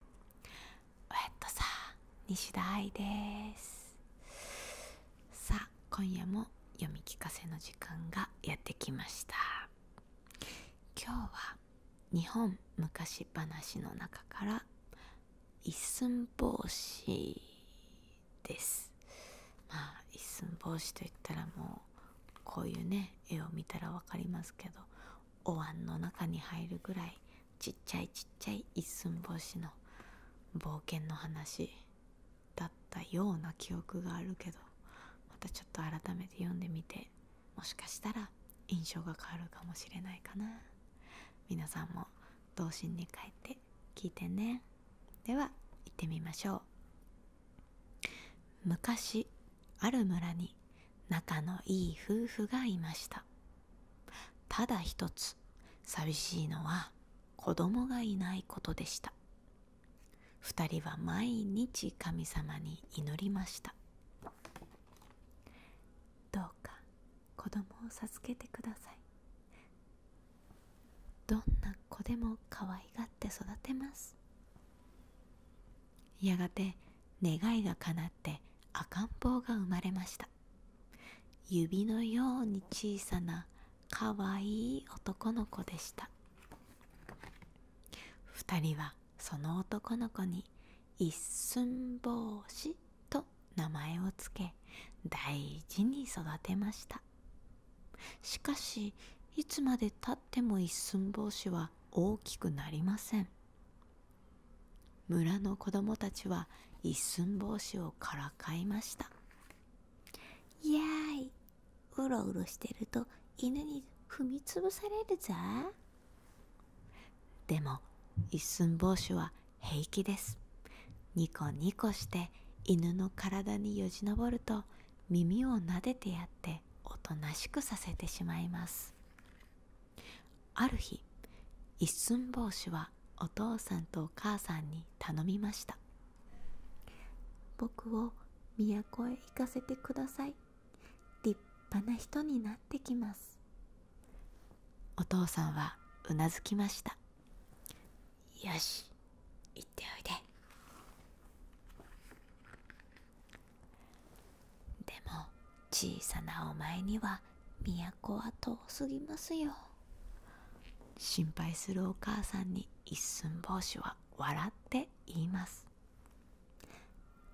ウェッさ西田愛ですさあ今夜も読み聞かせの時間がやってきました今日は日本昔話の中から一寸法師ですまあ一寸法師といったらもうこういうね絵を見たら分かりますけどお椀の中に入るぐらいちっちゃいちっちゃい一寸法師の冒険の話だったような記憶があるけどまたちょっと改めて読んでみてもしかしたら印象が変わるかもしれないかな皆さんも童心に帰って聞いてねでは行ってみましょう昔ある村に仲のいい夫婦がいましたただ一つ寂しいのは子供がいないことでした二人は毎日神様に祈りましたどうか子供を授けてくださいどんな子でも可愛がって育てますやがて願いが叶って赤ん坊が生まれました指のように小さなかわいい男の子でした2人はその男の子に一寸法師と名前をつけ大事に育てましたしかしいつまでたっても一寸法師は大きくなりません村の子供たちは一寸法師をからかいましたいやーいうろうろしてると犬に踏みつぶされるぞでも一寸法師は平気ですニコニコして犬の体によじ登ると耳を撫でてやっておとなしくさせてしまいますある日一寸法師はお父さんとお母さんに頼みました僕を都へ行かせてください立派な人になってきますお父さんはうなずきましたよし行っておいででも小さなお前には都は遠すぎますよ心配するお母さんに一寸法師は笑って言います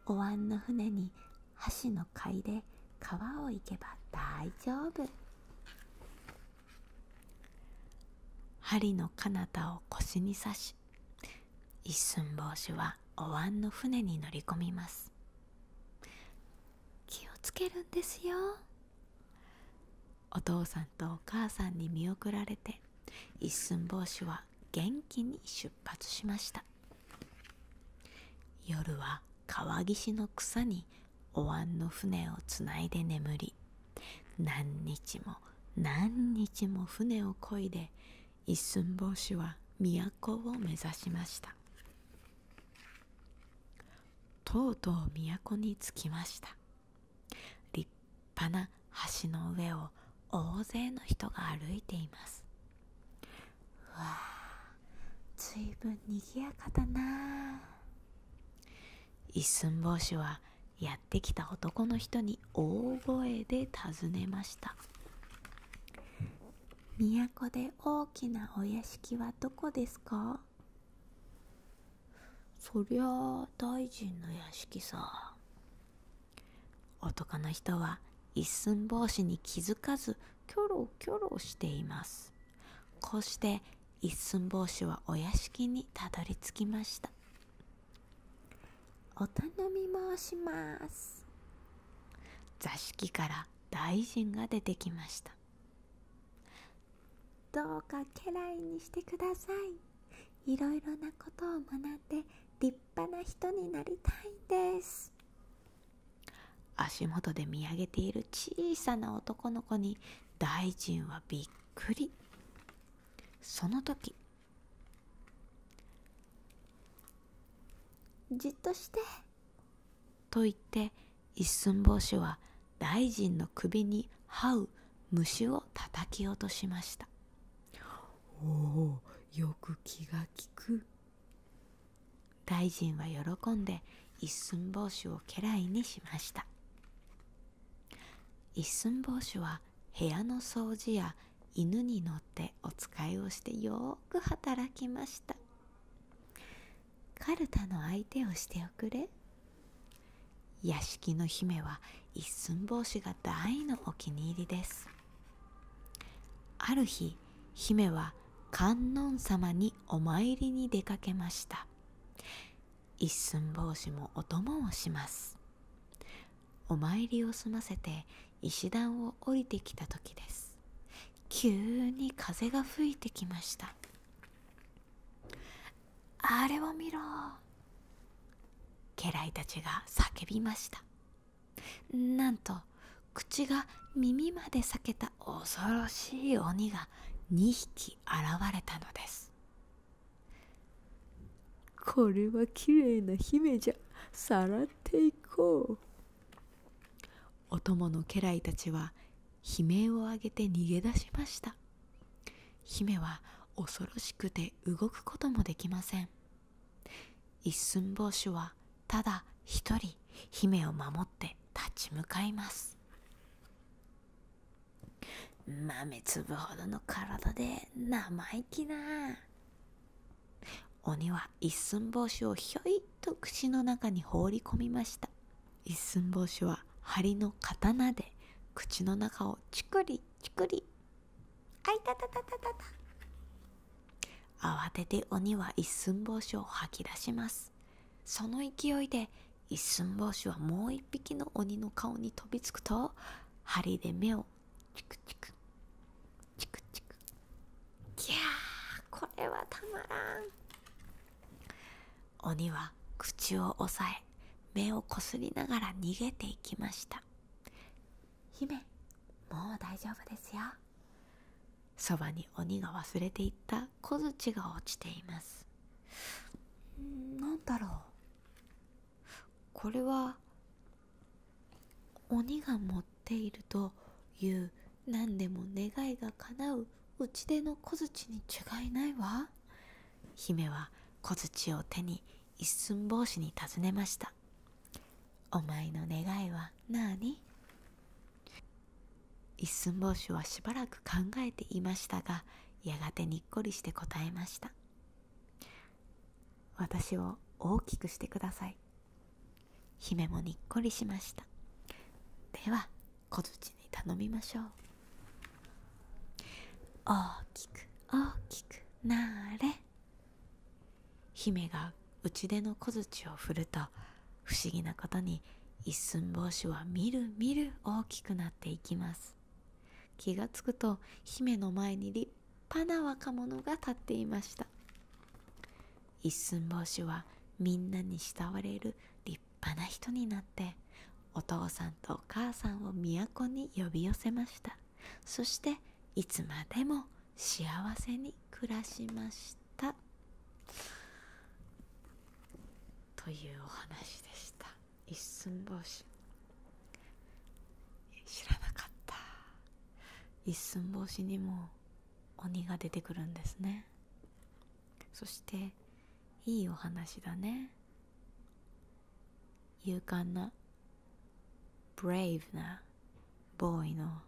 お椀の船に箸の貝で川を行けば大丈夫針の彼方を腰に刺し一寸法師はお椀の船に乗り込みます気をつけるんですよお父さんとお母さんに見送られて一寸法師は元気に出発しました夜は川岸の草にお椀の船をつないで眠り何日も何日も船をこいで一寸法師は都を目指しましたとうとう都に着きました立派な橋の上を大勢の人が歩いていますわあずいぶんにぎやかだな一寸法師はやってきた男の人に大声で尋ねました都で大きなお屋敷はどこですかそりゃあ大臣の屋敷さ男の人は一寸法師に気づかずキョロキョロしていますこうして一寸法師はお屋敷にたどり着きましたお頼み申します座敷から大臣が出てきましたどうか家来にしてくださいいろいろなことを学んで立派な人になりたいんです足元で見上げている小さな男の子に大臣はびっくりその時じっとしてと言って一寸法師は大臣の首に這う虫を叩き落としましたおおよく気が利く大臣は喜んで一寸法師を家来にしました一寸法師は部屋の掃除や犬に乗っておつかいをしてよく働きましたかるたの相手をしておくれ屋敷の姫は一寸法師が大のお気に入りですある日姫は観音様にお参りに出かけました一寸法師もお供をしますお参りを済ませて石段を降りてきた時です急に風が吹いてきましたあれを見ろ家来たちが叫びましたなんと口が耳まで裂けた恐ろしい鬼が2匹現れたのですこれはきれいな姫じゃさらっていこうお供の家来たちは悲鳴を上げて逃げ出しました姫は恐ろしくて動くこともできません一寸法師はただ一人姫を守って立ち向かいます豆粒ほどの体で生意気な鬼は一寸法師をひょいっと口の中に放り込みました一寸法師は針の刀で口の中をチクリチクリあいたたたたたた慌てて鬼は一寸法師を吐き出しますその勢いで一寸法師はもう一匹の鬼の顔に飛びつくと針で目をチクチクチクチクぎゃーこれはたまらん鬼は口を押さえ目をこすりながら逃げていきました姫もう大丈夫ですよそばに鬼が忘れていった小槌が落ちています何だろうこれは鬼が持っているという何でも願いが叶う打ち出の小槌に違いないわ姫は小槌を手に一寸法師に尋ねましたお前の願いはなあに。一寸法師はしばらく考えていましたがやがてにっこりして答えました私を大きくしてください姫もにっこりしましたでは小槌に頼みましょう大きく大きくなれ姫がちでの小槌を振ると不思議なことに一寸法師はみるみる大きくなっていきます気がつくと姫の前に立派な若者が立っていました一寸法師はみんなに慕われる立派な人になってお父さんとお母さんを都に呼び寄せましたそしていつまでも幸せに暮らしましたというお話でした一寸法師知らなかった一寸法師にも鬼が出てくるんですねそしていいお話だね勇敢なブレイブなボーイの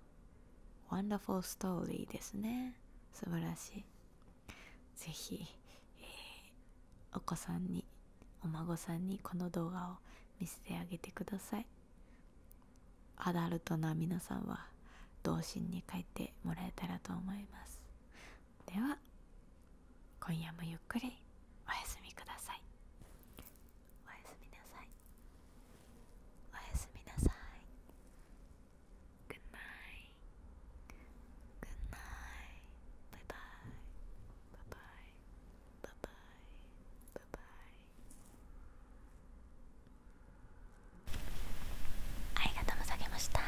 ワンダフォーストーリーですね素晴らしいぜひ、えお子さんにお孫さんにこの動画を見せてあげてくださいアダルトな皆さんは童心に帰ってもらえたらと思いますでは今夜もゆっくりおやすみくださいおやすみなさいおやすみなさい Good night Good night Bye bye Bye bye Bye bye Bye bye ありがとうございました